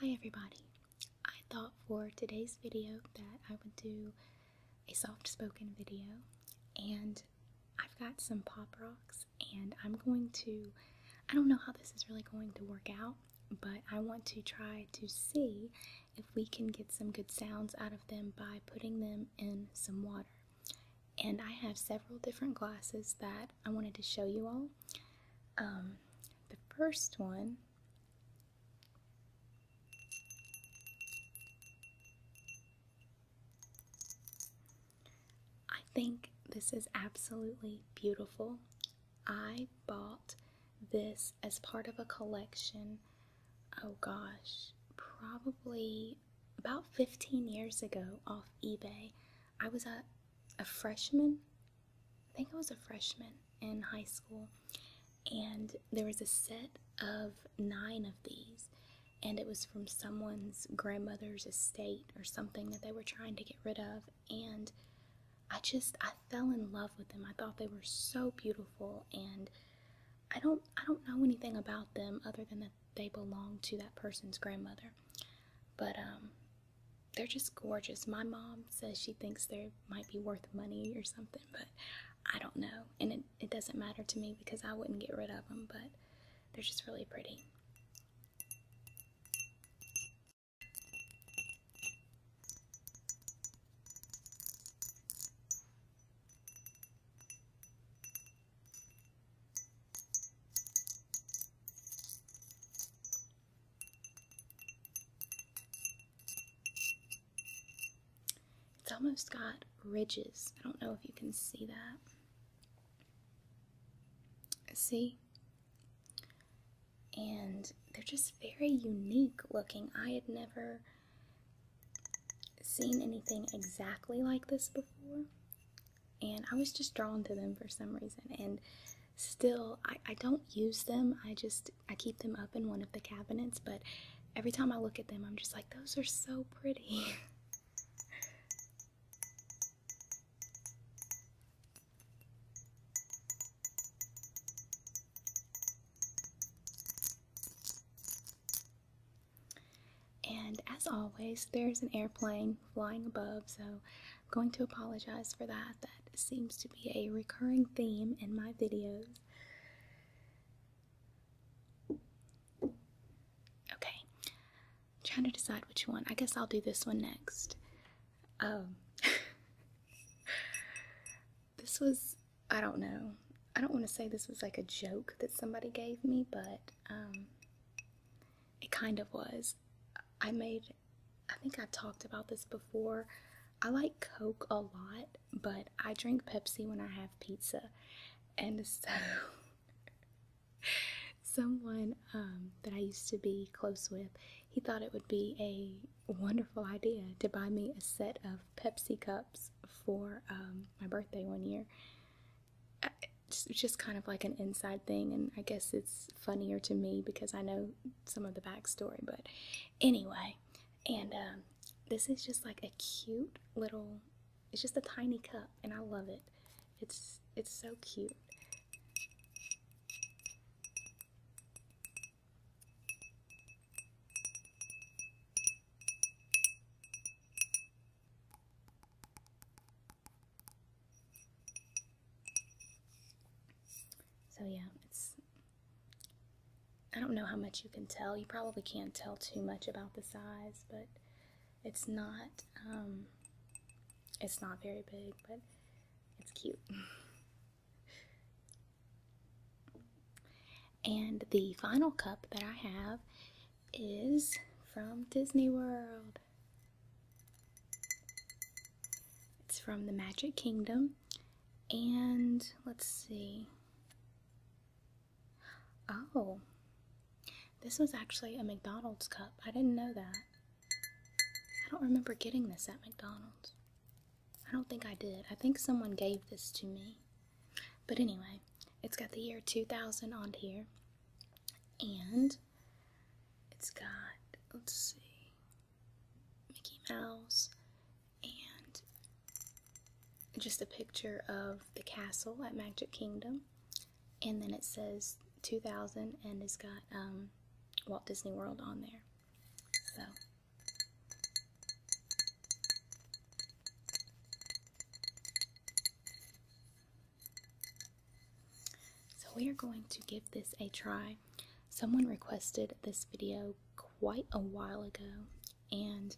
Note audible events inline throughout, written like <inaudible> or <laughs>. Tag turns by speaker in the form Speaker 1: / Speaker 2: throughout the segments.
Speaker 1: Hi everybody. I thought for today's video that I would do a soft spoken video and I've got some pop rocks and I'm going to I don't know how this is really going to work out, but I want to try to see if we can get some good sounds out of them by putting them in some water. And I have several different glasses that I wanted to show you all. Um, the first one I think this is absolutely beautiful. I bought this as part of a collection, oh gosh, probably about 15 years ago off eBay. I was a freshman, I think I was a freshman in high school, and there was a set of nine of these, and it was from someone's grandmother's estate or something that they were trying to get rid of, and I just I fell in love with them. I thought they were so beautiful and I don't I don't know anything about them other than that they belong to that person's grandmother. But um, they're just gorgeous. My mom says she thinks they might be worth money or something, but I don't know. And it, it doesn't matter to me because I wouldn't get rid of them, but they're just really pretty. It's almost got ridges. I don't know if you can see that. See? And they're just very unique looking. I had never seen anything exactly like this before, and I was just drawn to them for some reason. And still, I, don't use them. I just I keep them up in one of the cabinets, but every time I look at them, I'm just like, those are so pretty. <laughs> And as always, there's an airplane flying above, so I'm going to apologize for that. That seems to be a recurring theme in my videos. Okay, trying to decide which one. I guess I'll do this one next. Um, <laughs> this was I don't know. I don't want to say this was like a joke that somebody gave me, but um, it kind of was. I made, I think I talked about this before. I like Coke a lot, but I drink Pepsi when I have pizza. And <laughs> so, someone um, that I used to be close with, he thought it would be a wonderful idea to buy me a set of Pepsi cups for um, my birthday one year. It's just kind of like an inside thing, and I guess it's funnier to me because I know some of the backstory. But anyway, and um, this is just like a cute little. It's just a tiny cup, and I love it. It's it's so cute. So yeah, it's, I don't know how much you can tell. You probably can't tell too much about the size, but it's not, um, it's not very big, but it's cute. <laughs> And the final cup that I have is from Disney World. It's from the Magic Kingdom. And let's see. Oh, this was actually a McDonald's cup. I didn't know that. I don't remember getting this at McDonald's. I don't think I did. I think someone gave this to me. But anyway, it's got the year 2000 on here, and it's got, let's see, Mickey Mouse, and just a picture of the castle at Magic Kingdom. And then it says 2000, and it's got um, Walt Disney World on there. So. So we are going to give this a try. Someone requested this video quite a while ago and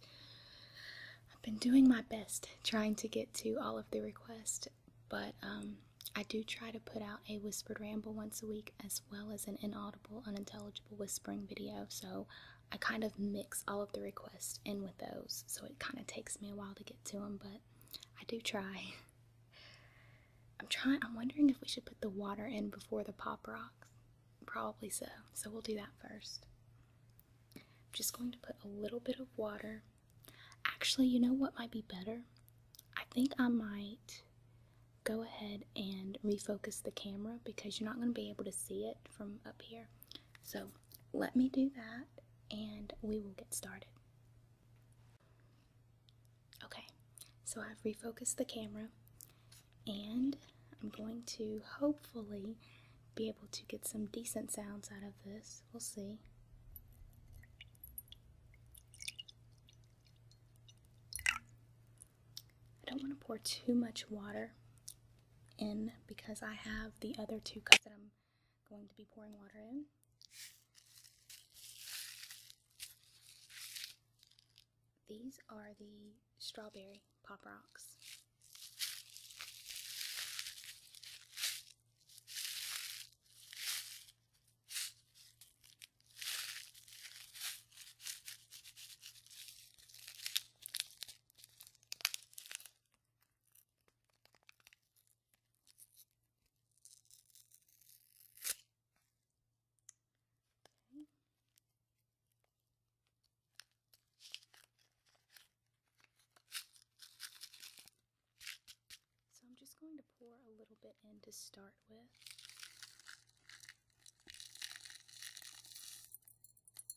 Speaker 1: I've been doing my best trying to get to all of the requests, but um, I do try to put out a whispered ramble once a week as well as an inaudible, unintelligible whispering video, so I kind of mix all of the requests in with those, so it kind of takes me a while to get to them, but I do try. <laughs> I'm trying, I'm wondering if we should put the water in before the pop rocks. Probably so, so we'll do that first. I'm just going to put a little bit of water. Actually, you know what might be better? I think I might go ahead and refocus the camera because you're not going to be able to see it from up here. So let me do that and we will get started. Okay, so I've refocused the camera and I'm going to hopefully be able to get some decent sounds out of this. We'll see. I don't want to pour too much water in because I have the other two cups that I'm going to be pouring water in. These are the strawberry pop rocks. So I'm just going to pour a little bit in to start with.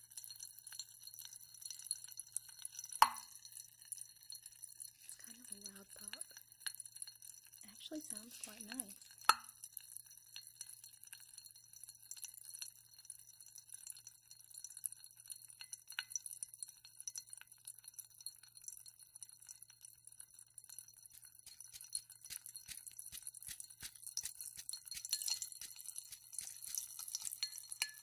Speaker 1: It's kind of a loud pop. It actually sounds quite nice.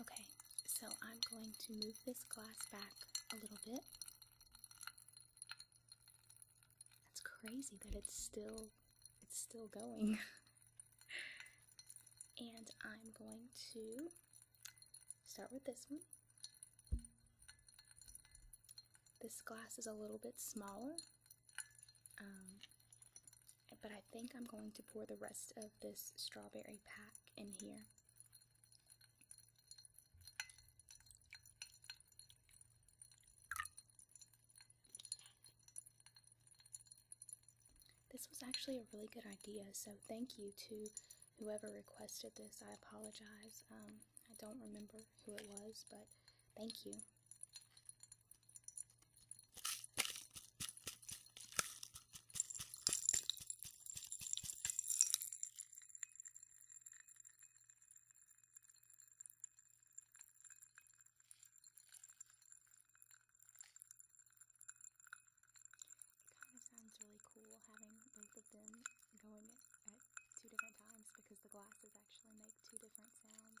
Speaker 1: Okay, so I'm going to move this glass back a little bit. That's crazy that it's still it's still going. <laughs> and I'm going to start with this one. This glass is a little bit smaller. Um, but I think I'm going to pour the rest of this strawberry pack in here. This was actually a really good idea, so thank you to whoever requested this. I apologize. Um, I don't remember who it was, but thank you kind of sounds really cool having both of them going at two different times because the glasses actually make two different sounds.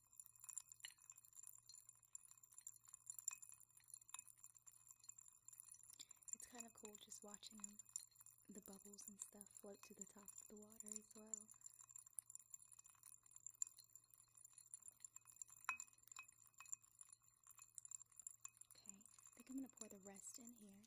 Speaker 1: It's kind of cool just watching them, the bubbles and stuff float to the top of the water as well. Okay, I think I'm going to pour the rest in here.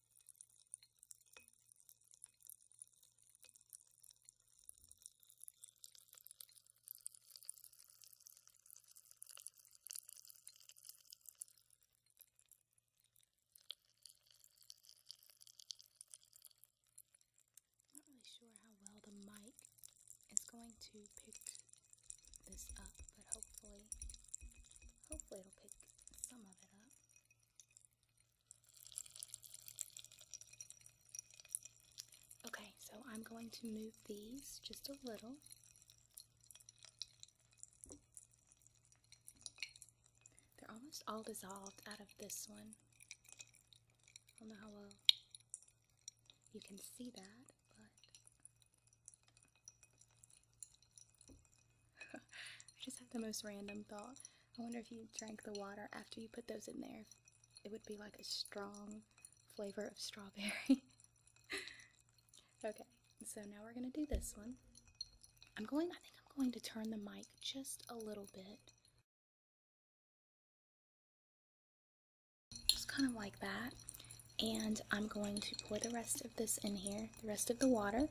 Speaker 1: I'm not really sure how well the mic is going to pick this up, but hopefully, hopefully it'll pick some of it up. Okay, so I'm going to move these just a little. They're almost all dissolved out of this one. I don't know how well you can see that, but <laughs> I just had the most random thought. I wonder if you drank the water after you put those in there. It would be like a strong flavor of strawberry. <laughs> okay, so now we're gonna do this one. I'm going, I think I'm going to turn the mic just a little bit. Just kind of like that. And I'm going to pour the rest of this in here, the rest of the water.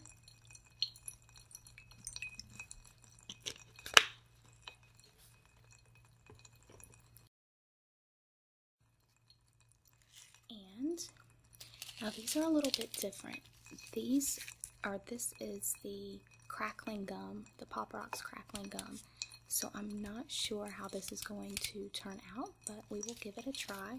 Speaker 1: And now these are a little bit different. These are, this is the crackling gum, the Pop Rocks crackling gum. So I'm not sure how this is going to turn out, but we will give it a try.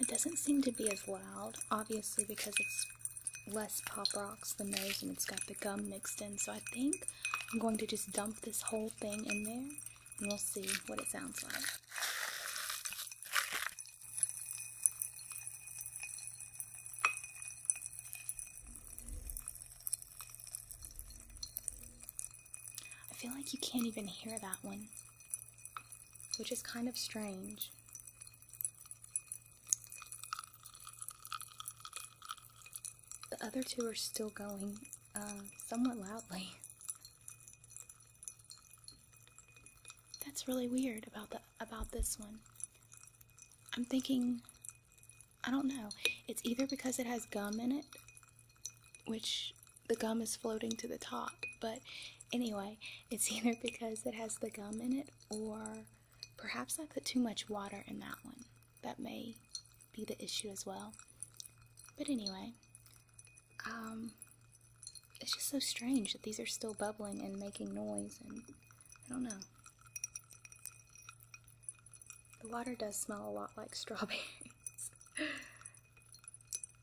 Speaker 1: It doesn't seem to be as loud, obviously because it's less Pop Rocks than those and it's got the gum mixed in, so I think I'm going to just dump this whole thing in there we'll see what it sounds like. I feel like you can't even hear that one, which is kind of strange. The other two are still going uh, somewhat loudly. <laughs> That's really weird about the about this one. I'm thinking I don't know. It's either because it has gum in it, which the gum is floating to the top, but anyway, it's <laughs> either because it has the gum in it or perhaps I put too much water in that one. That may be the issue as well. But anyway, um, it's just so strange that these are still bubbling and making noise, and I don't know. The water does smell a lot like <laughs> strawberries.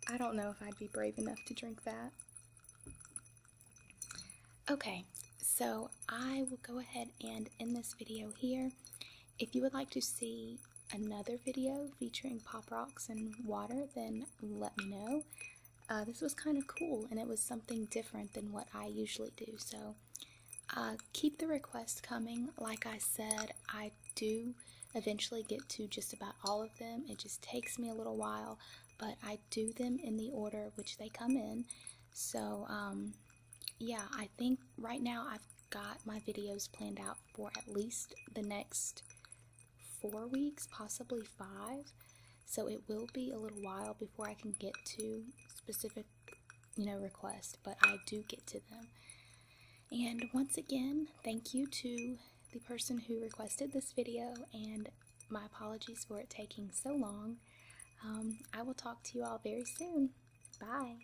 Speaker 1: I don't know if I'd be brave enough to drink that. Okay, so I will go ahead and end this video here. If you would like to see another video featuring pop rocks and water, then let me know. Uh, this was kind of cool and it was something different than what I usually do. So uh, keep the requests coming. Like I said, I do eventually get to just about all of them. It just takes me a little while, but I do them in the order which they come in. So, um, yeah, I think right now I've got my videos planned out for at least the next four weeks, possibly five. So it will be a little while before I can get to specific, you know, requests, but I do get to them. And once again, thank you to the person who requested this video, and my apologies for it taking so long. Um, I will talk to you all very soon. Bye.